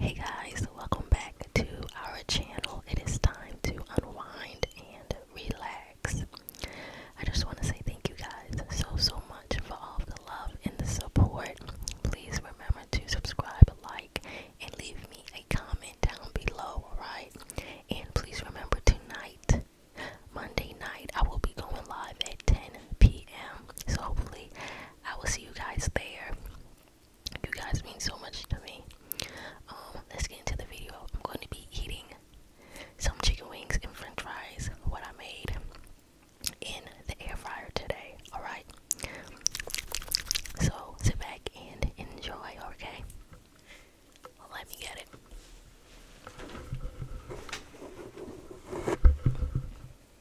Hey guys, welcome back to our channel. It is time to unwind and relax. I just want to say thank you guys so so much for all of the love and the support. Please remember to subscribe, like, and leave me a comment down below, alright? And please remember tonight, Monday night, I will be going live at 10 p.m. So hopefully I will see you guys there. You guys mean so much to me. Um, let's get into the video. I'm going to be eating some chicken wings and french fries, what I made in the air fryer today. Alright? So sit back and enjoy, okay? let me get it.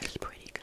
It's pretty good.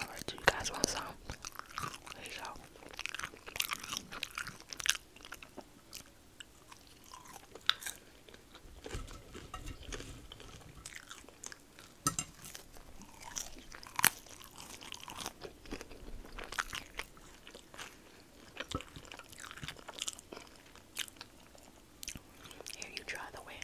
Alright, you guys want some? There you go. Here, you try the wing.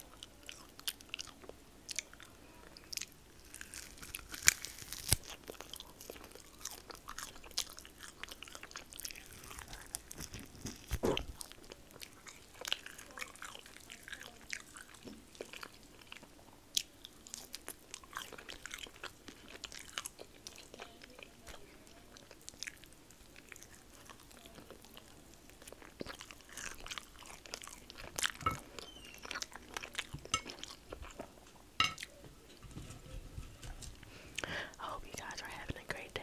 I hope you guys are having a great day.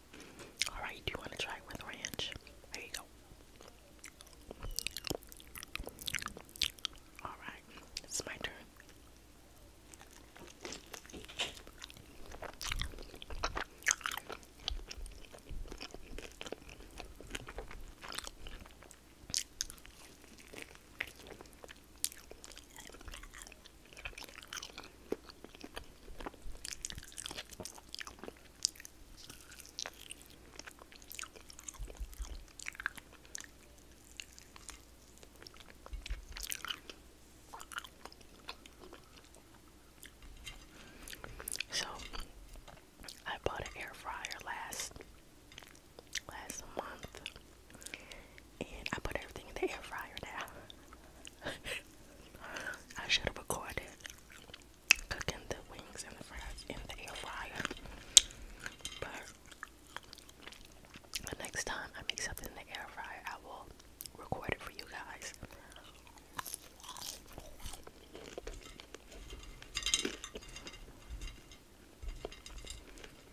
Alright, do you want to try it with ranch? There you go. Alright, it's my turn. So I bought an air fryer last last month and I put everything in the air fryer now. I should have recorded cooking the wings and the fries in the air fryer, but the next time I make something in the air fryer, I will record it for you guys.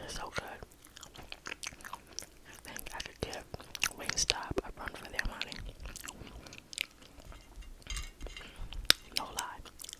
It's so good. think I could give Wingstop a run for their money. No lie.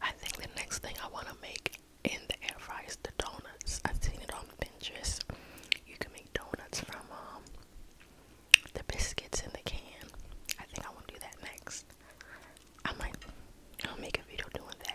I think the next thing I want to make in the air fryer is the donuts. I've seen it on Pinterest. You can make donuts from um, the biscuits in the can. I think I want to do that next. I might make a video doing that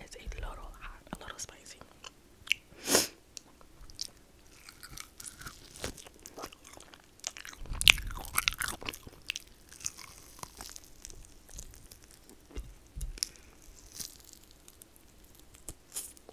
It's a little hot, a little spicy.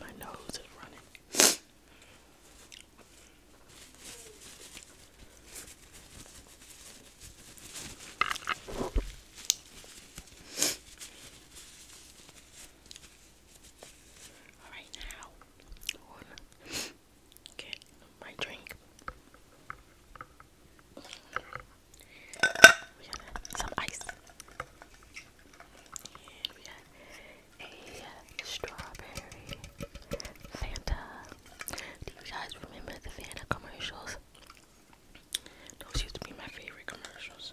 My nose is running. All right now, get my drink. We got some ice we got a strawberry Fanta. Do you guys remember the Fanta commercials? Those used to be my favorite commercials.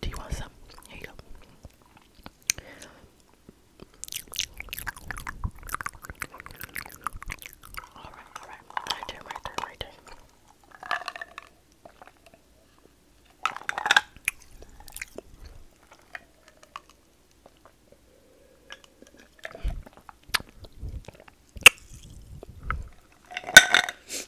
Do you want some? Here you go. All right, all right, right there, right there, right there.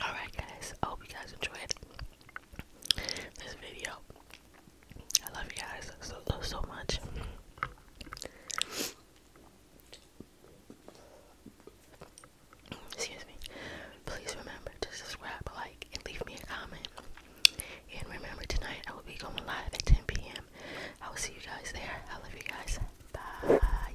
Alright, guys, I hope you guys enjoyed this video. I love you guys so, so, so much. Excuse me. Please remember to subscribe, like, and leave me a comment. And remember, tonight I will be going live at 10 p.m. I will see you guys there. I love you guys. Bye.